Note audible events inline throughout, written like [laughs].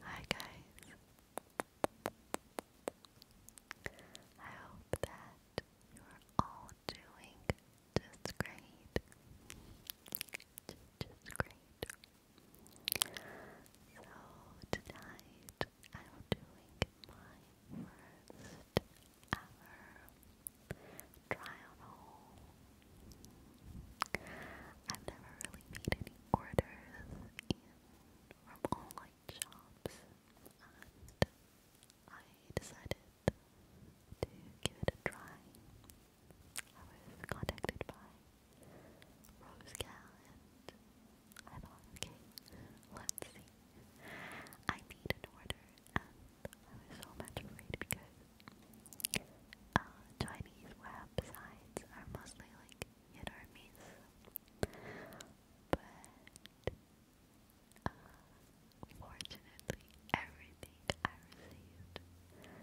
Hi guys. I hope that you're all doing just great. Just great. So tonight I'm doing my first ever try haul. I've never really made any orders from online shops, and I decided to give it a try. I was contacted by Rose and I thought, okay, let's see. I made an order, and I was so much afraid because uh, Chinese websites are mostly like you know I mean? But uh, everything I received were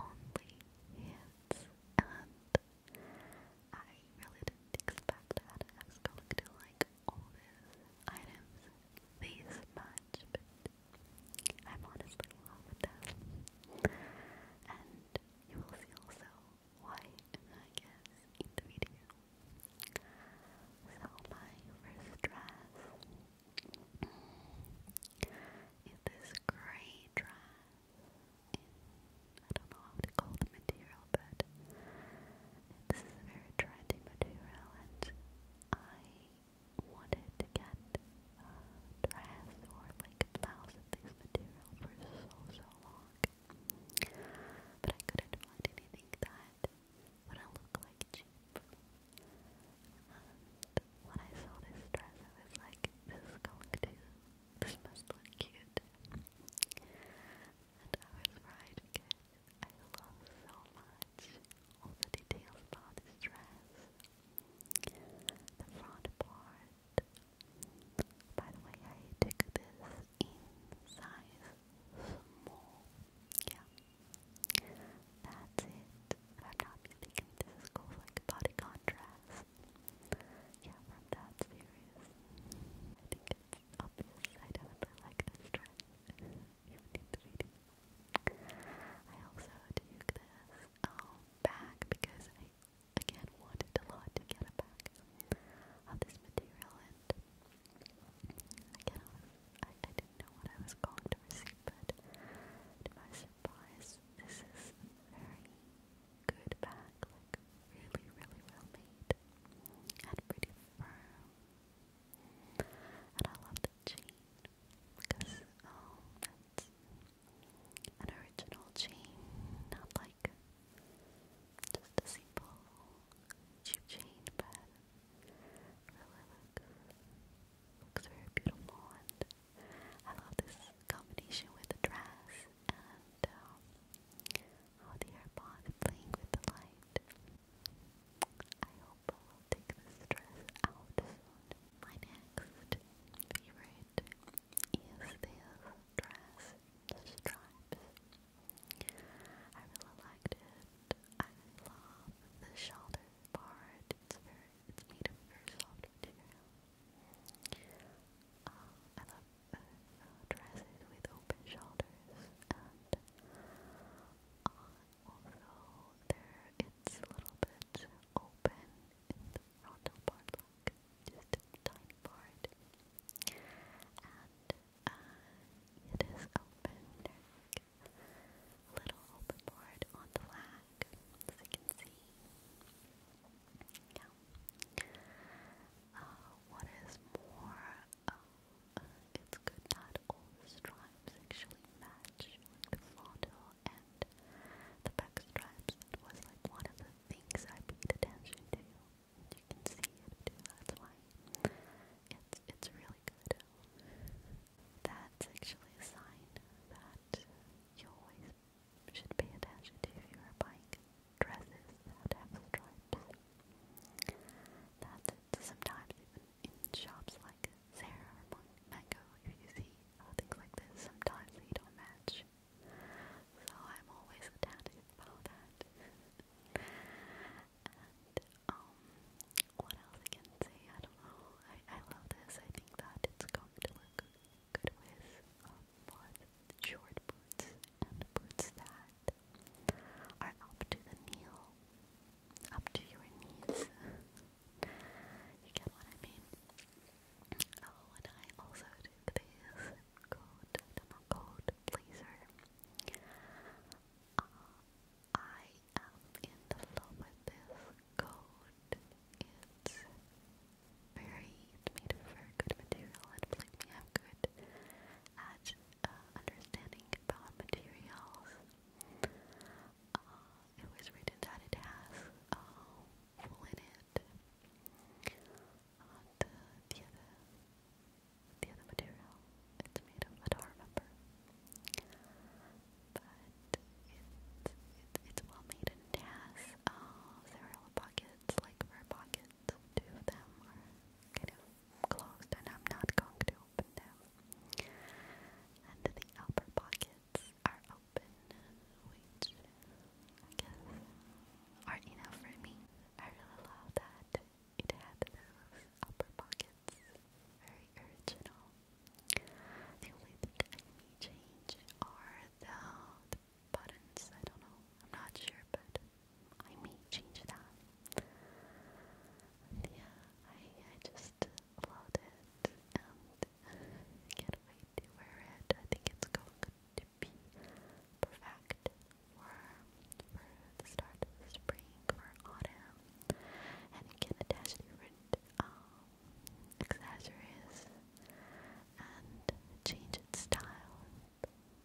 only hits, and I really didn't expect that I was going to like all these items these much, but I'm honestly in love you will see also why I guess in the video. So my first dress is this grey dress I don't know how to call the material but this a very trendy material and I wanted to get uh, dress or like a blouse material for so, so long. But I couldn't find anything that would look like cheap. when I saw this dress, I was like, this is going to, this must look cute. And I was right because I love so much all the details about this dress. The front part, it. By the way, I took this in size small. Yeah. That's it. I'm not mistaken, this is like body contrast. Yeah, from that series. I think it's obvious I definitely like this dress. you need the video. I also took this um, bag because I again wanted a lot to get a bag of this material and again I, didn't know what I was going to receive but to my surprise this is a very good bag, like really really well made and pretty firm and I love the chain because um, an original chain, not like just a simple cheap chain, but really looks, looks very beautiful and I love this combination with the dress and um, the AirPod playing with the light. I hope I take this dress out My next favorite is this dress in I really liked it. I love the shoulder part. It's very it's made of very soft material. Um, I love uh, uh, dresses with open shoulders and uh, also there it's a little bit open in the frontal part, just a tiny part, and uh, it is open. little open on the leg, as you can see. Uh, what is more, uh, it's good that all the stripes actually match the frontal and hand. The backstraps was like one of the things I paid attention to. You can see it that's why. It's, it's really good. That's actually a sign that you always should pay attention to if you are buying dresses that have stripes. That's Sometimes even in shops like Zara or Mango, if you see things like this, sometimes they don't match. So I'm always attentive about that. and um what else I say? I don't know. I, I love this. I think that it's going to look good with um, short boots and boots that are up to the knee, up to your knees. you get what I mean? Oh, and I also took this cold, uh, I am in love with this coat. It's very, made of very good material and believe me, I'm good at uh, understanding about materials. Uh, it was written that it has wool in it, and uh, the other, the other material it's made of, I don't But it's it's well made and has several pockets, like rear pockets. Two of them are kind of closed, and I'm not going to open them. And the upper pocket slots are open, which are enough for me. I really love that it had those upper pockets, very original. The only thing I may change are the, buttons. I don't know. I'm not sure, but I may change that. yeah, I I just loved it, um, it. can wait to wear it. I think it's going to be perfect for, for the start of spring or autumn. And it can attach different um, accessories and change its style.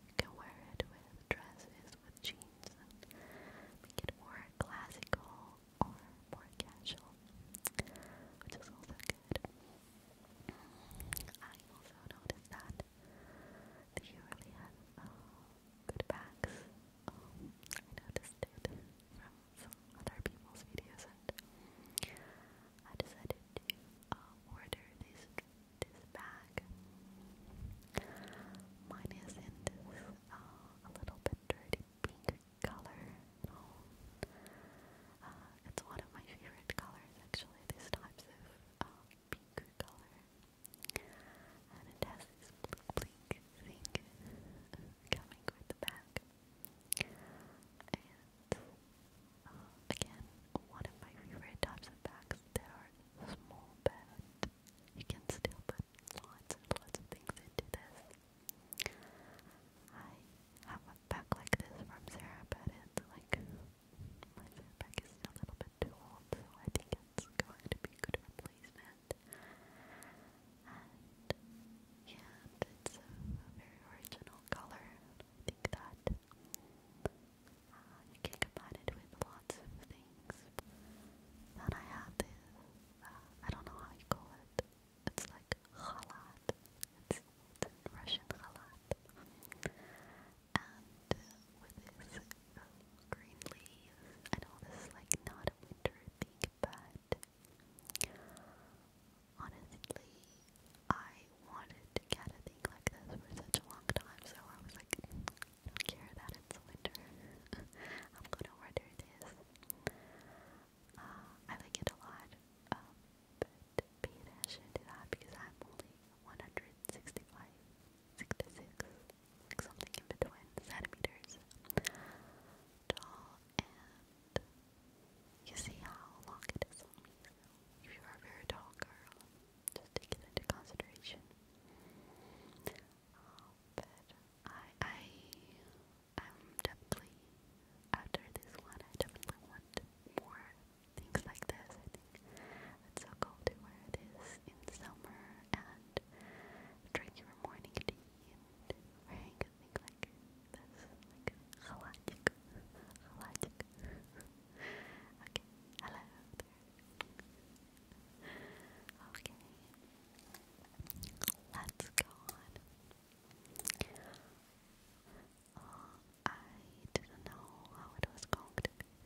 You can wear it with dresses, with jeans, make it more classical or more casual, which is also good. I also noticed that that you really have good backs. I noticed it from other people's videos, and I decided to order this this bag. Mine is in a little bit dirty pink color known. Uh, it's one of my favorite colors actually, these types of uh, pink color. And it has this blink blink thing uh, coming with the back. And again, one of my favorite types of bags that are small but you can still put lots and lots of things into this. I have a back like this from Sarah, but like my Sarah is a little bit too old, I think it's going to be a good replacement. And yeah, it's a, very original color. I think that uh, you can combine it with lots of things. Then I have this, uh, I don't know how you call it. It's like khalat. It's, Russian khalat. And with this uh, green leaves, I know this like not winter thing, but honestly, I wanted to get a thing like this for such a long time, so I was like, don't care that it's winter. [laughs] I'm gonna order this. Uh, I like it a lot, um, should to that because I'm only 165, 66, like something in between centimeters tall, and um, you see how long it is on me. If you are a very tall girl, just take it into consideration. but I, I, I'm definitely after this one, I definitely want more things like this. I think it's so cool to wear this in summer and drink your morning tea and wearing a like this, like halachic, halachic. okay, hello Okay, let's go on. I didn't know how it was going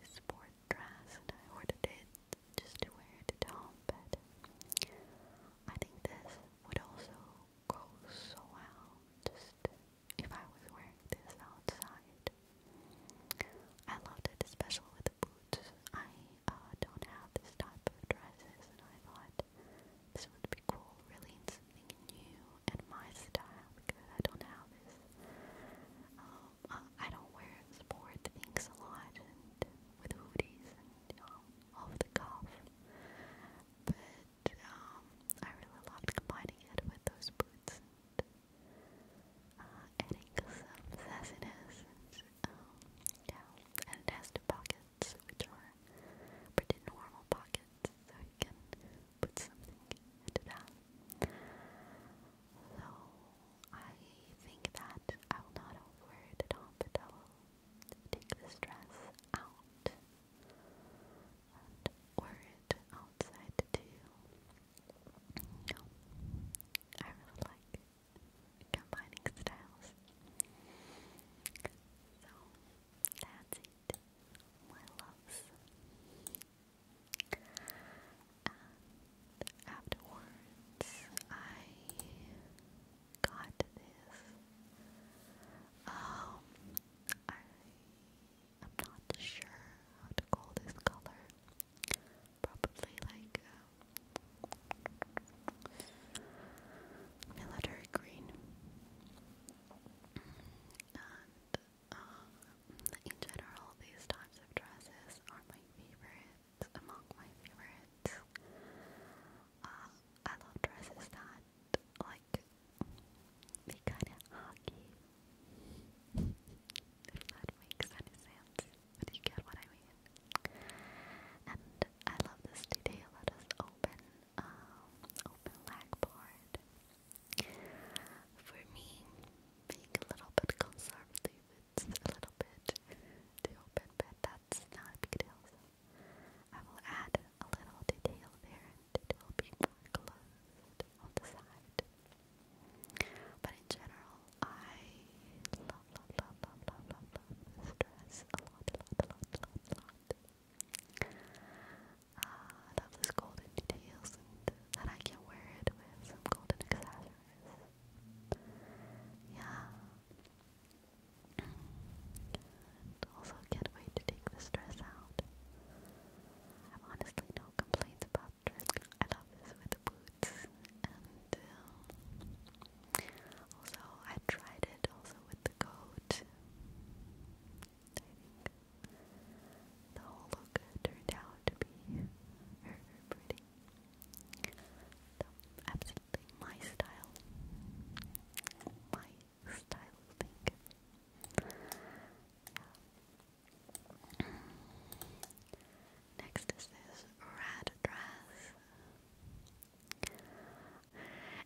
sport dress, and I ordered it just to wear it at home, but I think this would also go so well just if I was wearing this outside. I loved it, especially with the boots. I uh, don't have this type of dresses, and I thought this would be really cool, really something new and my style because I don't have this. Um, I don't wear sport things a lot with hoodies and off the cuff, but um, I really loved combining it with those boots and uh, adding some sassiness and um, yeah, and it pockets which are pretty normal pockets it so you can put something into that. So I think that I will not overwear it at all, but take the dress out and wear it outside too. I really like combining styles. So that's it my loves. And afterwards, I got this. Um, I am not sure how to call this color. Probably like uh, military green and um, in general these types of dresses are my favorites, among my favorites. Uh, I love dresses that, like, they kinda hug you. if that makes any sense, but you get what I mean. And I love this detail that is open um, open lag board. For me, being a little bit conservative, it's a little bit too open, but that's not a big deal. So I will add a little detail there, and it will be more closed on the side. But in general, I love, love, love, love, love, love, love this dress a lot, a lot, a lot, a lot, a lot. Uh, I love golden details and I can wear it with some golden accessories. Yeah. And also can't wait to take the dress out. I've honestly no complaints about dress. I love this with the boots. And um, also I tried it also with the coat. The whole look turned out to be pretty. absolutely my style. My style of Next is this red dress.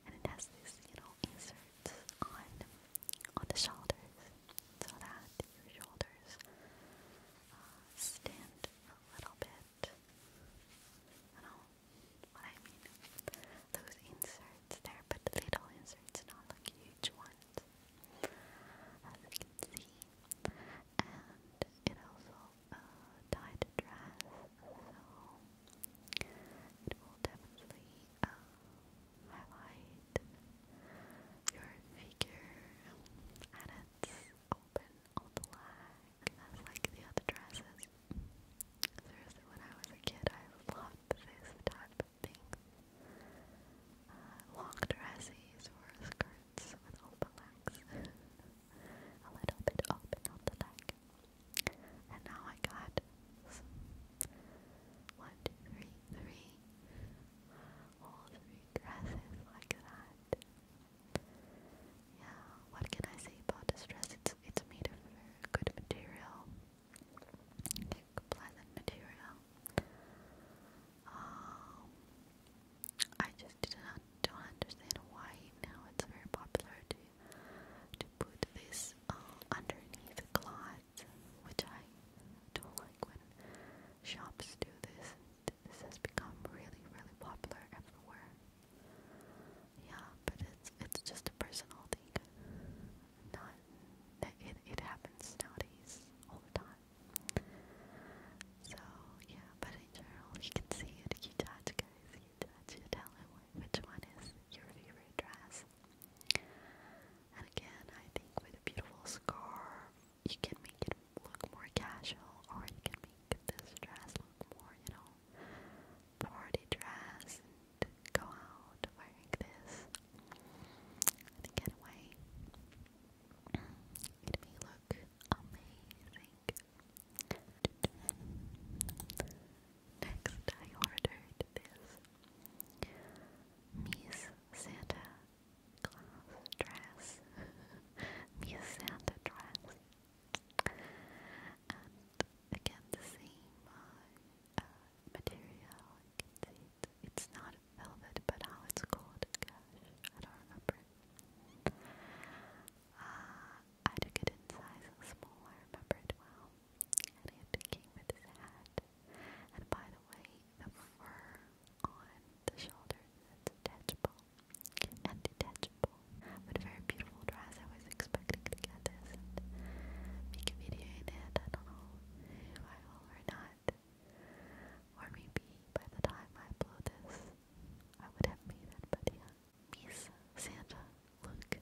And it has this, you know, on on the shoulders so that your shoulders uh, stand a little bit. I know what I mean. Those inserts there, but little inserts, not like huge ones, as you can see. And it also uh, tied a dress, so it will definitely um, highlight your figure and it's open all the lag. That's like the other dresses. when I was a kid, I loved this type of thing. Uh, long dresses or skirts with open legs. [laughs] a little bit open on the leg. And now I got one, two, three, three, all three dresses like that. Yeah, what can I say about this dress? It's it's made of very good material, like pleasant material. Um, I just did not don't understand why now it's very popular to to put this uh, underneath the cloth which I don't like when shops do this. This has become really, really popular everywhere. Yeah, but it's it's just a personal thing. Not it it happens nowadays all the time. So yeah, but in general, you can see it. You touch, guys. You touch. tell him which one is your favorite dress. And again, I think with a beautiful scarf, you can make it look more casual, or you can make this dress look more, you know, party dress and go out wearing this. I think anyway, it may look amazing. Next, I ordered this Miss Santa Claus dress. [laughs] Miss Santa dress. And again, the same uh, uh, material. You it's not velvet, but how it's called. Gosh, I don't remember. Uh, I took it in size small, I remember it well. And it came with this hat. And by the way, the fur on the shoulders is detachable and detachable. But a very beautiful dress. I was expecting to get this and make a video in it. I don't know if I will or not. Or maybe by the time I upload this, I would have made it. But yeah, Miss Santa look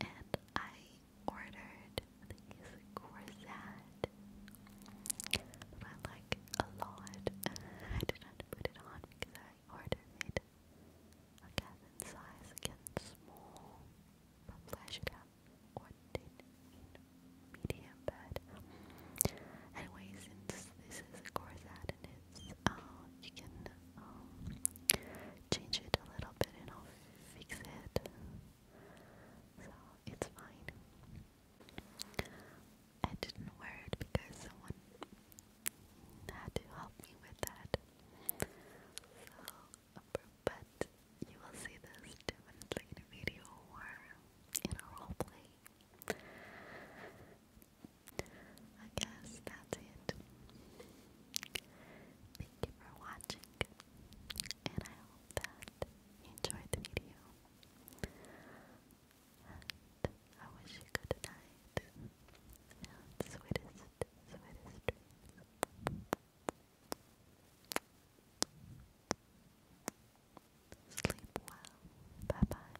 And I ordered these corset, but I like a lot. I did not put it on because I ordered it again size, again small. Probably I should have ordered medium, but anyway, since this is a corset and it's, uh, you can um, change it a little bit and I'll fix it. So it's fine. I didn't wear it because someone had to help me with that. So, um, but you will see this in a video or in a roleplay. I guess that's it. Thank you for watching, and I hope that you enjoyed the video. I wish you good night and sweetest, sweetest dreams. Sleep well. Bye bye.